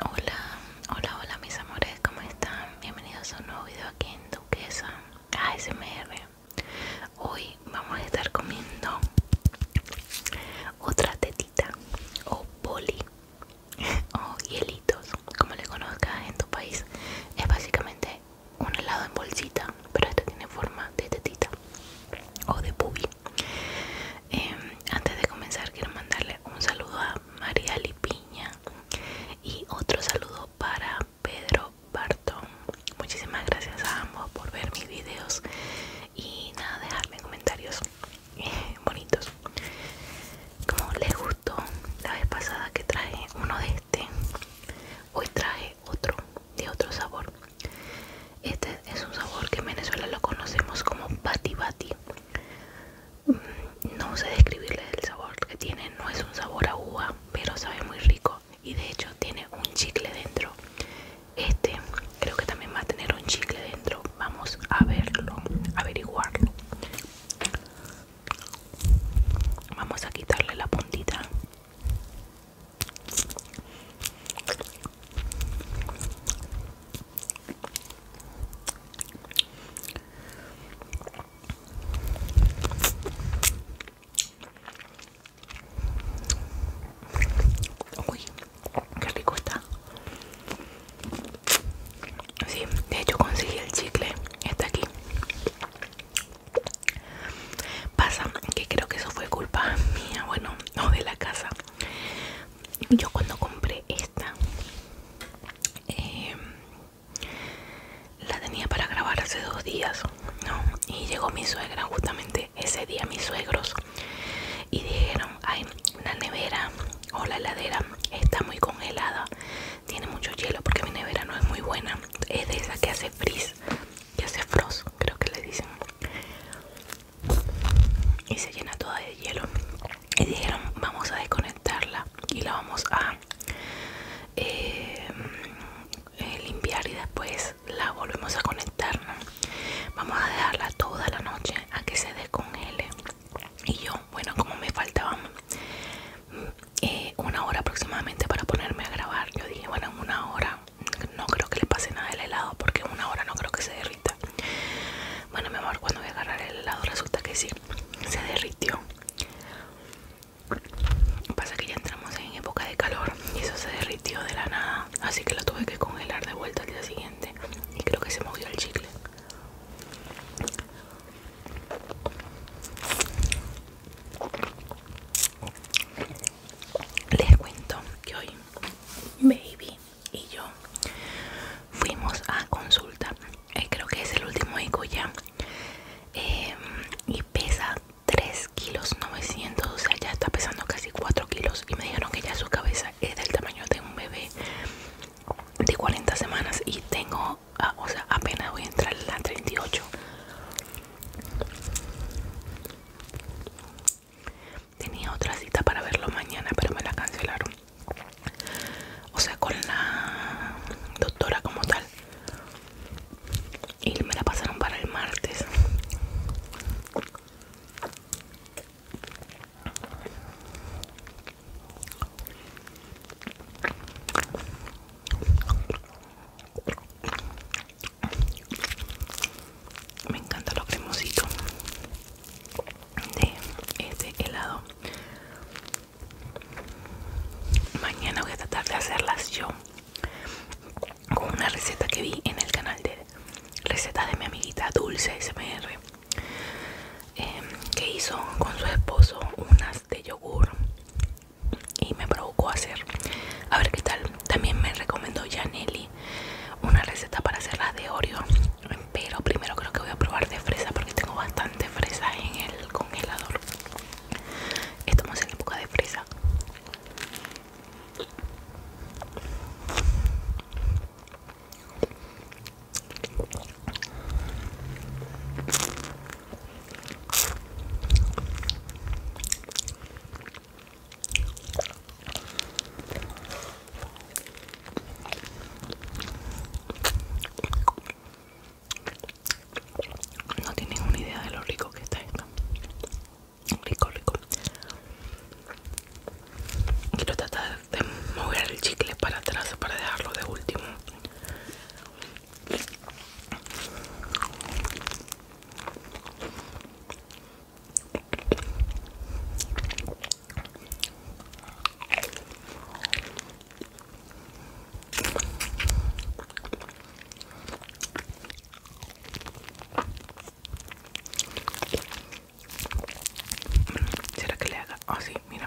Hola, hola, hola mis amores, ¿cómo están? Bienvenidos a un nuevo video aquí en Duquesa ASMR Hoy vamos a estar comiendo otra tetita o poli o hielitos, como le conozcas en tu país Es básicamente un helado en bolsita, pero este tiene forma de tetita o de pubi Em, antes de comenzar quiero mandarle un saludo a María Lipiña y otro saludo para Pedro Barton Muchísimas gracias a ambos por ver mis videos y nada, dejarme comentarios eh, bonitos. Como les gustó la vez pasada que traje uno de este, hoy traje otro de otro sabor. Este es un sabor que en Venezuela lo conocemos como bati bati Mm, no sé describirle el sabor que tiene no es un sabor a uva pero sabe muy rico y de hecho tiene un chicle dentro este creo que también va a tener un chicle dentro vamos a verlo averiguarlo vamos a quitarle la puntita Uy, qué rico está. Sí, de hecho conseguí el chicle. Está aquí. Pasa que creo que eso fue culpa mía, bueno, no de la casa yo cuando compré esta em, la tenía para grabar hace dos días y llegó mi suegra justamente ese día mis suegros y dijeron ay la nevera o la heladera está muy congelada tiene mucho hielo porque mi nevera no es muy buena es de esa que hace frizz que hace frost creo que le dicen y se llena toda de hielo y dijeron vamos a desconectarla y la vamos a eh, eh, limpiar y después la volvemos a conectar vamos a dejarla toda la noche a que se descongele y yo bueno como me faltaba eh, una hora aproximadamente para ponerme a grabar yo dije bueno en una hora no creo que le pase nada el helado porque una hora no creo que se derrita bueno, mi amor, cuando voy a agarrar el helado resulta que sí, se derritió. Pasa que ya entramos en época de calor y eso se derritió de la nada, así que lo tuve que congelar de vuelta el día siguiente y creo que se movió el chicle. Les cuento que hoy, baby, y yo fuimos a consulta eh, creo que es el último eco ya em, y pesa 3 kilos 900 o sea ya está pesando casi 4 kilos y me dijeron que ya su cabeza es del tamaño de un bebé de 40 semanas y tengo ah, o sea apenas voy a entrar en la 38 tenía otra cita para verlo mañana pero me la cancelaron o sea con la doctora como tal y me la pasaron para el martes me encanta lo cremosito de este helado Mañana voy a tratar de hacerlas yo con una receta que vi en el canal de recetas de mi amiguita Dulce SMR em, que hizo con su esposo unas de yogur y me provocó hacer a ver qué tal también me recomendó Janelli una receta para hacerlas de Oreo pero primero creo que voy a probar de fresa porque tengo bastante fresa en el congelador. Estamos en época de fresa. No tienen una idea de lo rico que está esto. Rico, rico. Quiero tratar de mover el chicle para atrás para dejarlo de último. ¿Será que le haga? Oh, mira.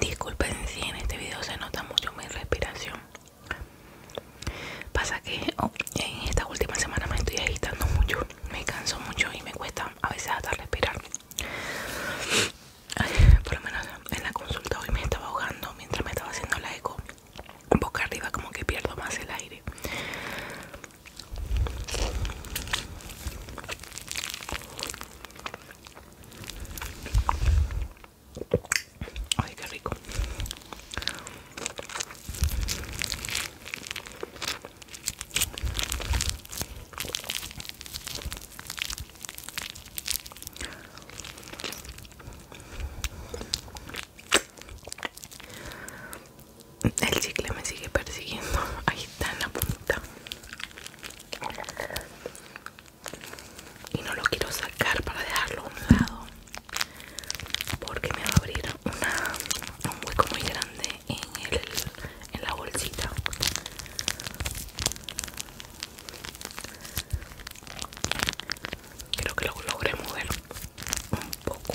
Disculpen si en este video se nota mucho mi respiración. Pasa que oh, en esta última semana me estoy agitando mucho, me canso mucho y me cuesta a veces hasta respirar. por lo menos en la consulta hoy me estaba ahogando mientras me estaba haciendo la eco. Boca arriba como que pierdo más el aire. Ay, qué rico. El chicle me sigue persiguiendo. Ahí está en la punta y no lo quiero sacar para dejarlo a un lado porque me va a abrir un hueco muy grande en, en la bolsita creo que lo logré mover un poco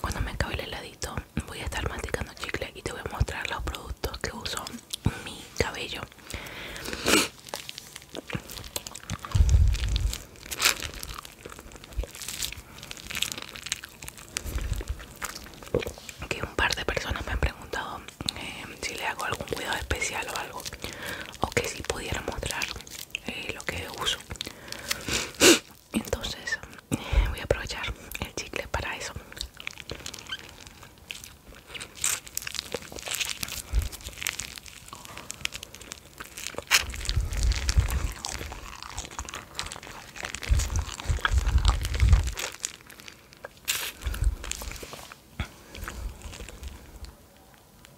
Cuando me acabe el heladito voy a estar masticando chicle y te voy a mostrar los productos que uso en mi cabello. Que un par de personas me han preguntado eh, si le hago algún cuidado especial o algo o que si pudiera mostrar eh, lo que uso entonces eh, voy a aprovechar el chicle para eso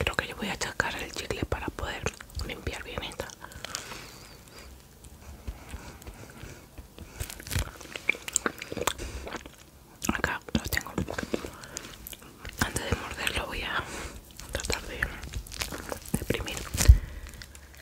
Creo que yo voy a achacar el chicle para poder limpiar bien esta. Acá lo tengo. Antes de morderlo voy a tratar de deprimir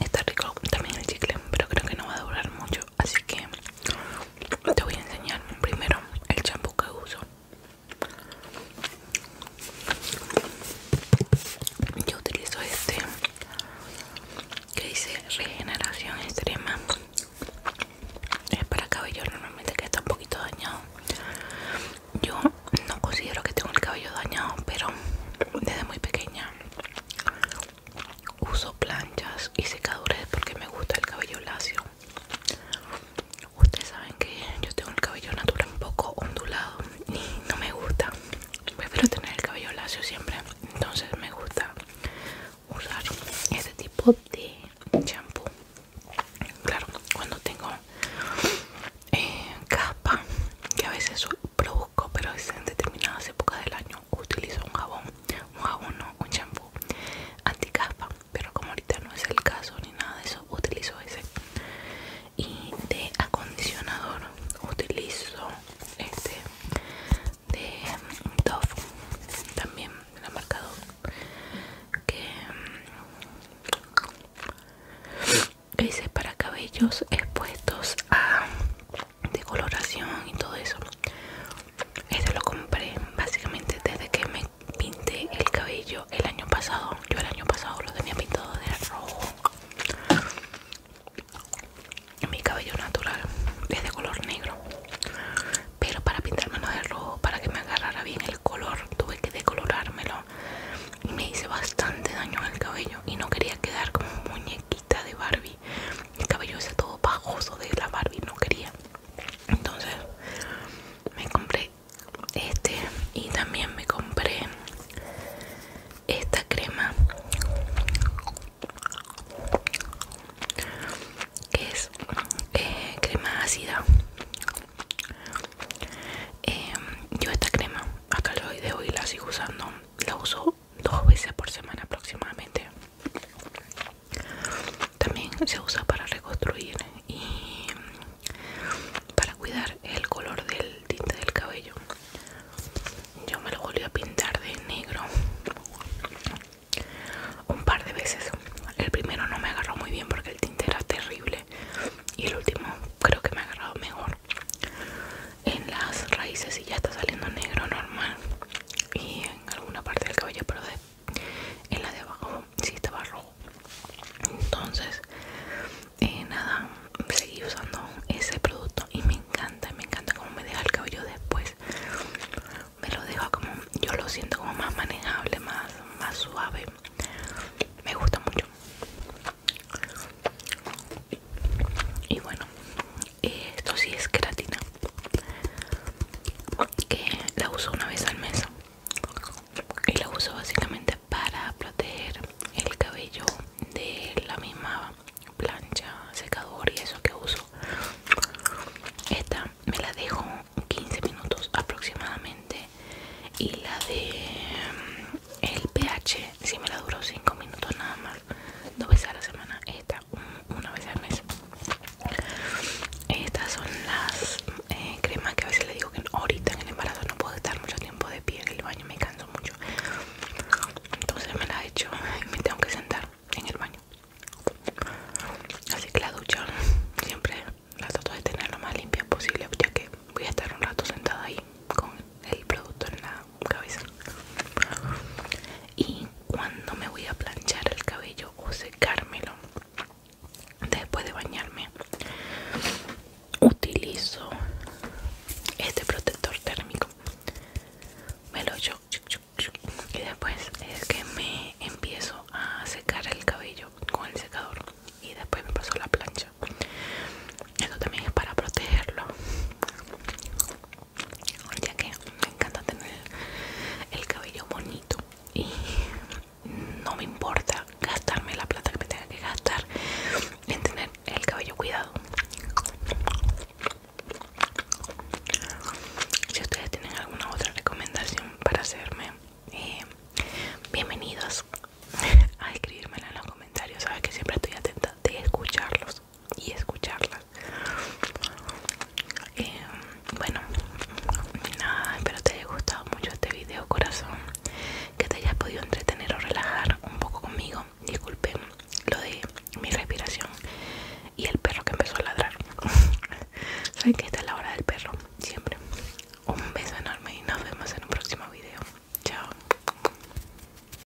Está rico también el chicle, pero creo que no va a durar mucho, así que te voy a enseñar primero el champú que uso. Yo utilizo este que dice regeneración extrema. Es para cabello normalmente que está un poquito dañado. Yo no considero que tengo el cabello dañado, pero desde muy pequeña Uso planchas y secadores porque me gusta el cabello lacio. Ustedes saben que yo tengo el cabello natural un poco ondulado y no me gusta. Prefiero tener el cabello lacio siempre. Entonces me gusta usar ese tipo de shampoo. Claro, cuando tengo eh, capa, que a veces provoca pero en determinadas épocas del año utilizo un jabón, un jabón no, un shampoo anticaspa, pero como ahorita no es el caso ni nada de eso, utilizo ese. Y de acondicionador utilizo este de Dove, también de la marca que mm, ese para cabellos expuestos a decoloración y todo eso este lo compré básicamente desde que me pinté el cabello el año pasado yo el año pasado lo tenía pintado de rojo mi cabello natural es de color negro pero para pintármelo de rojo para que me agarrara bien el color tuve que decolorármelo y me hice bastante daño el cabello y no quería quedar como un muñequito de Barbie. El cabello es todo pajoso de la Barbie, no quería. Entonces me compré este y también me compré esta crema que es eh, crema ácida. Em, yo esta crema acá el hoy de hoy la sigo usando. La uso dos veces por semana aproximadamente también se usa para reconstruir y para cuidar el color del tinte del cabello yo me lo volví a pintar de negro un par de veces el primero no me agarró muy bien porque el tinte era terrible y el último creo que me ha agarrado mejor en las raíces y ya está saliendo negro normal y en alguna parte del cabello pero en la de abajo sí estaba rojo entonces eh, nada seguí usando ese producto y me encanta me encanta como me deja el cabello después me lo deja como yo lo siento como más manejable más suave me gusta mucho y bueno esto sí es queratina que la uso una vez al mes y la uso básicamente para proteger el cabello de la misma plancha secador y eso que uso esta me la dejo 15 minutos aproximadamente y la de el pH si me la duró 5 minutos nada más dos veces a la semana esta una vez al mes estas son las eh, cremas que a veces le digo que ahorita en el embarazo no puedo estar mucho tiempo de pie en el baño me canso mucho entonces me la he hecho y me tengo que sentar en el baño así que la ducha siempre la trato de tener lo más limpia posible ya que voy a estar un rato sentada ahí con el producto en la cabeza y cuando me voy a planchar el cabello o secármelo después de bañarme utilizo este protector térmico me lo yo y después es que me empiezo a secar el cabello con el secador y después me paso la plancha esto también es para protegerlo ya que me encanta tener el cabello bonito y no me importa gastarme la plata que me tenga que gastar en tener el cabello cuidado si ustedes tienen alguna otra recomendación para hacerme eh, bienvenidos a escribírmela en los comentarios sabes que siempre estoy atenta de escucharlos y escucharlas eh, bueno nada espero te haya gustado mucho este video corazón que te hayas podido entretener o relajar un poco conmigo disculpen lo de mi respiración y el perro que empezó a ladrar saben que esta es la hora del perro siempre un beso enorme y nos vemos en un próximo video chao